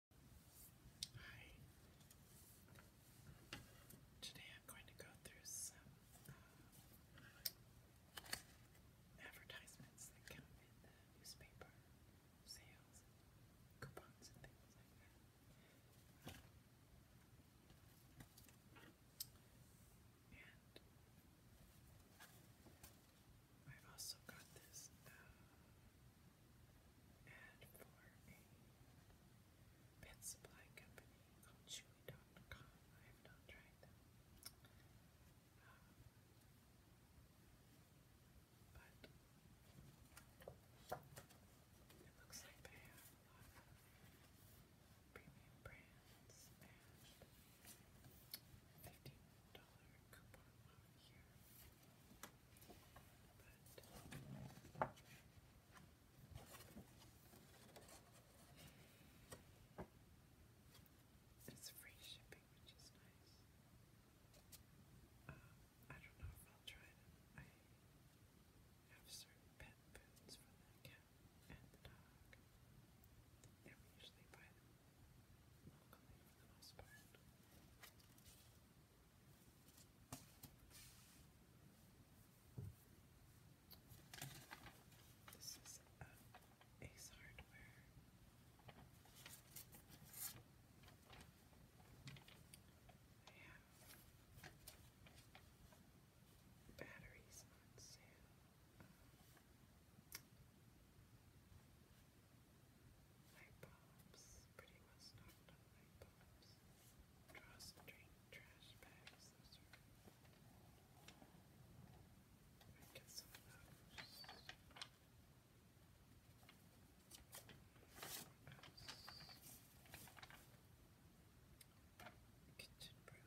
Hi. Today I'm going to go through some uh, advertisements that come in the newspaper, sales, coupons, and things like that. And I've also got this uh, ad for a pet supply company called Chewy.com. I have not tried them. but it looks like they have premium brands and $15 coupon here. But it's free shipping, which is nice. Uh, I don't know if I'll try them. I have certain pet foods for the cat and the dog, and we usually buy them welcoming for This is uh, Ace Hardware. I have batteries on sale. Night bulbs, pretty well stocked on night bulbs. Drawstring trash bags, I get some of Kitchen brew,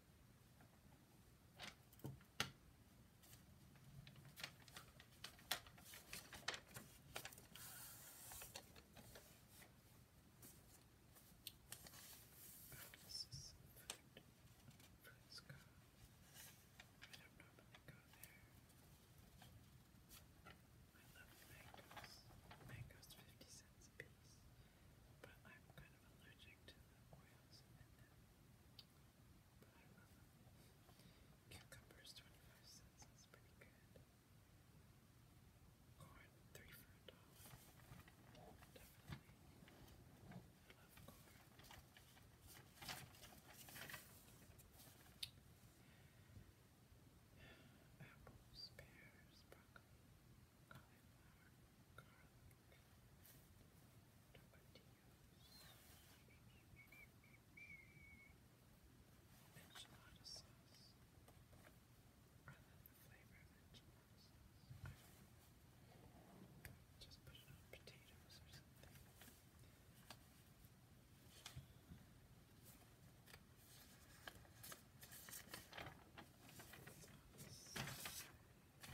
this is I don't normally go there. I love mangoes. Mangoes 50 cents piece. But I'm kind of allergic to the oils in them. Cucumbers, 25 cents, that's pretty good. Corn, 3 for a dollar. Apples, pears, broccoli, cauliflower, garlic, Enchilada sauce. Rather than the flavor of enchilada sauce. I don't know. Just put it on potatoes or something. Sauce. Let's Sugar.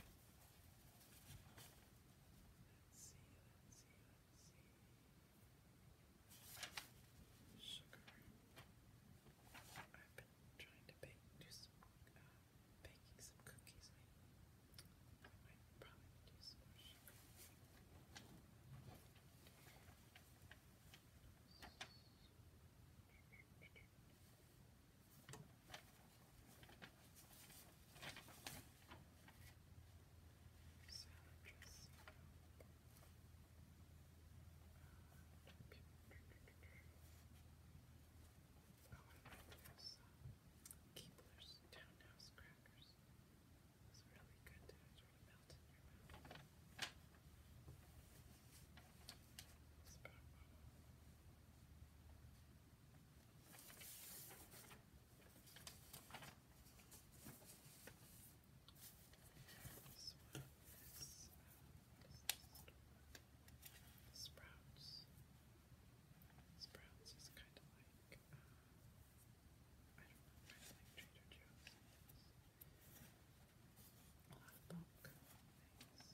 I've been trying to bake, do some, uh, baking some cookies Keebler's Townhouse Crackers. It's really good to sort of melt in your mouth. This one Sprouts. Sprouts is kind of like, uh, I don't know, kind of like Trader Joe's. A lot of bulk things.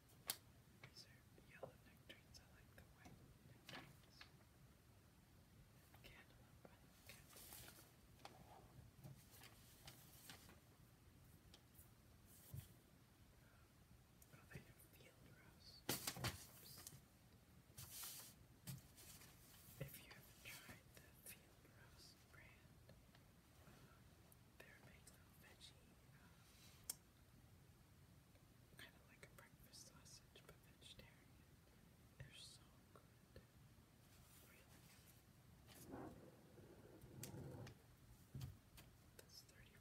These I like the white nectarines. Cantaloupe. Oh, if you haven't tried the field rose brand, uh, they're making little veggie uh, Kind of like a breakfast sausage, but vegetarian. They're so good. That's 35% off. That's pretty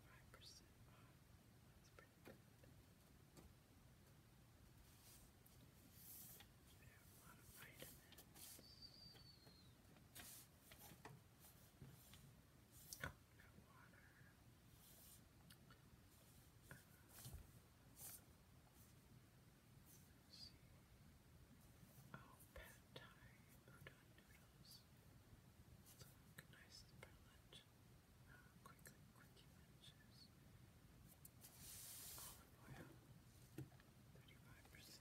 They have a lot of vitamins. Oh, pad thai udon noodles. Let's look nice for quickly, quickie lunches. Olive oil, thirty-five percent.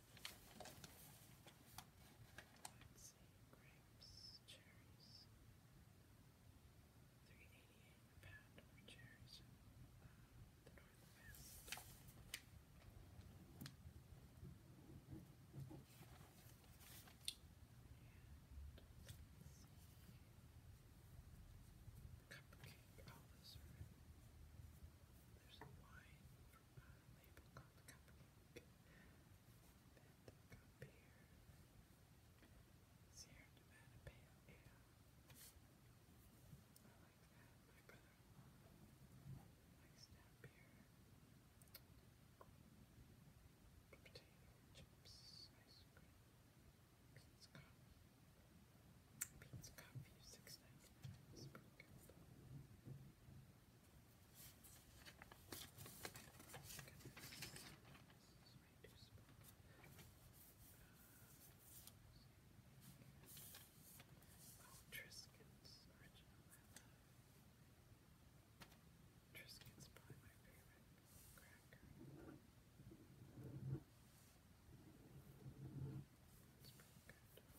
Let's grapes, cherries. Three eighty-eight a for cherries the northwest. And Cupcake There's wine label called Cupcake. Then the cup here, Sierra Nevada Pale Ale. I like that. My brother likes that beer. Potato chips, ice cream, beans coffee. Beans coffee, six ninety nine. Spring Oh, Triscuits, original I love. Triscuits probably my favorite cracker. It's pretty good.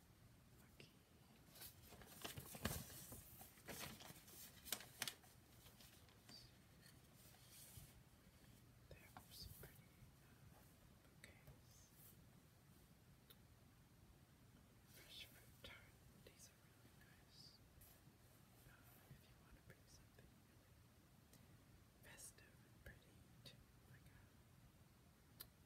There are some pretty uh, Fresh fruit tart. These are really nice. if you want to bring something festive and pretty to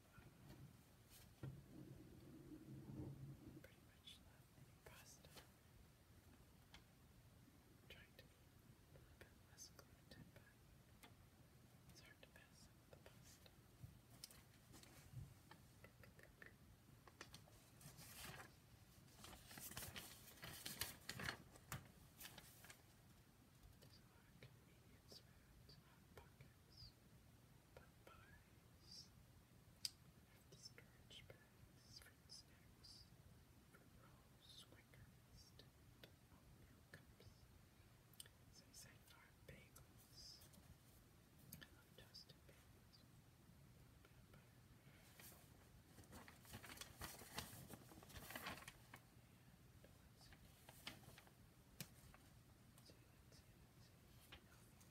Pretty much love any trying to be a little bit less gluten, but it's hard to pass up the pasta. There's a lot of convenience foods, hot pockets, Popeyes. Empty storage bags, fruit snacks, fruit rolls, Quaker oatmeal cups, Sunnyside Farm bagels. I toasted bagels choice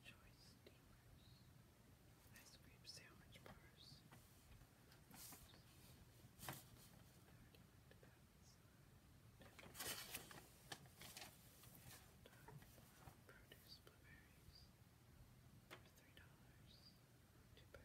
steamers, ice cream sandwich bars. produce blueberries for three dollars. Too bad. But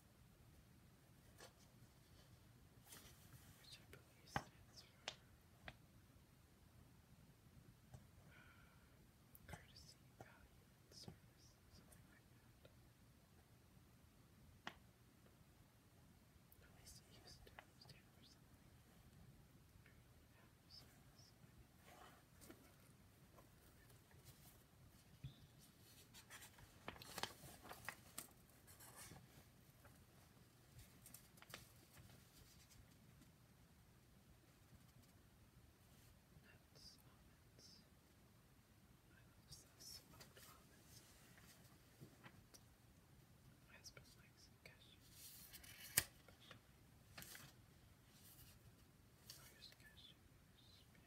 which I believe stands for courtesy, value, service, something like that. At used to stand for something. Value, service, my husband likes cash. But, oh, here's the cash. Here's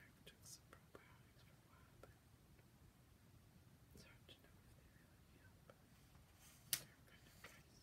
I took some probiotics for a while, but it's hard to know if they really help. They're kind of nice.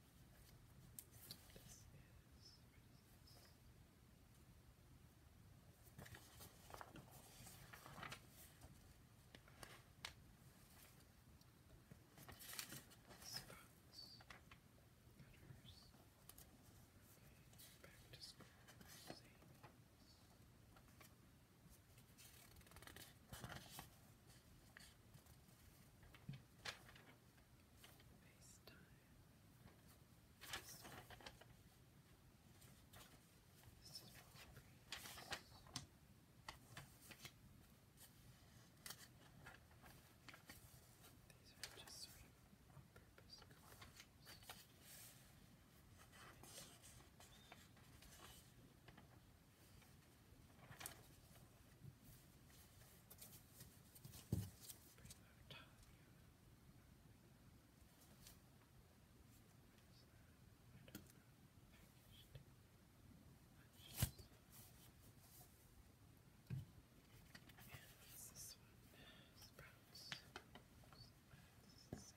This is, Spots, cutters, okay, back to school, savings. These are just sort of on purpose colors. It's this one? Sprouts. Sprouts. Sprouts. Sprouts. Sprouts.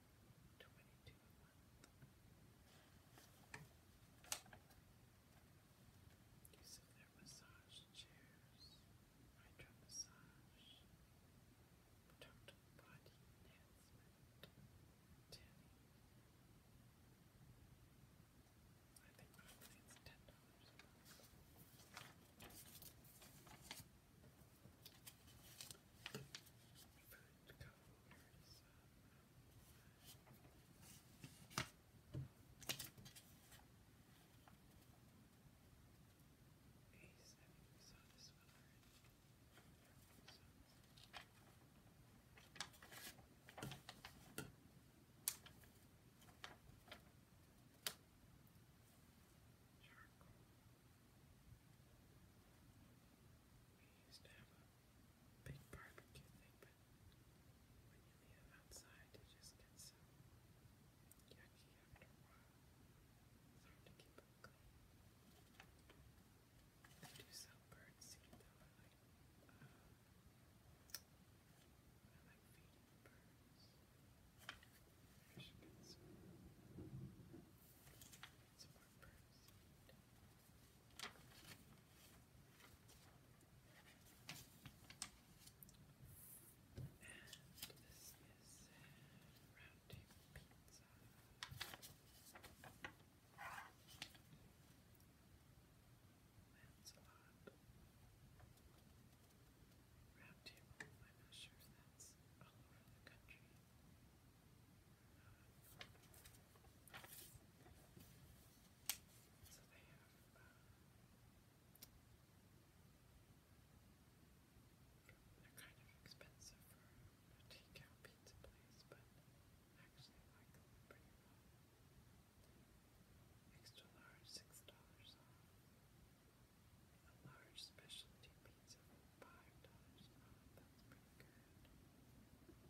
twenty two a month. Use massage chairs, hydro massage, total body enhancement, tanning. I think probably it's ten dollars Food code, where is that? Ace, I think we saw this one already. Charcoal. We used to have a big barbecue thing, but when you leave outside, it just gets so yucky after a while. It's hard to keep it clean. I do sell bird though. Um, I like, feeding birds. I should get some transport first. this is round pizza. Lancelot. Round table, I'm not sure if that's all over the country. So they have uh, they're kind of expensive for a takeout pizza place, but actually I like them pretty well. Extra large, six dollars off. A large specialty pizza five dollars.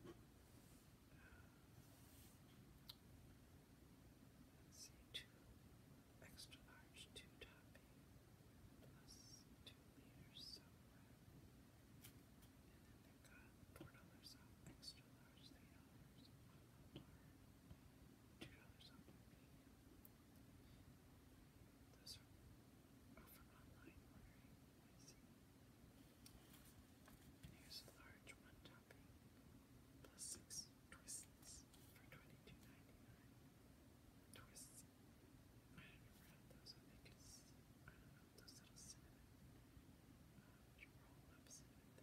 Oh, that's pretty good. Uh, two extra large, two topping, plus two liters. Uh, and then they got four dollars off extra large, three dollars two dollars off Those are or for here's a large one topping plus six twists for twenty-two ninety-nine. Twists. I don't never had those. I think I don't know those little cinnamon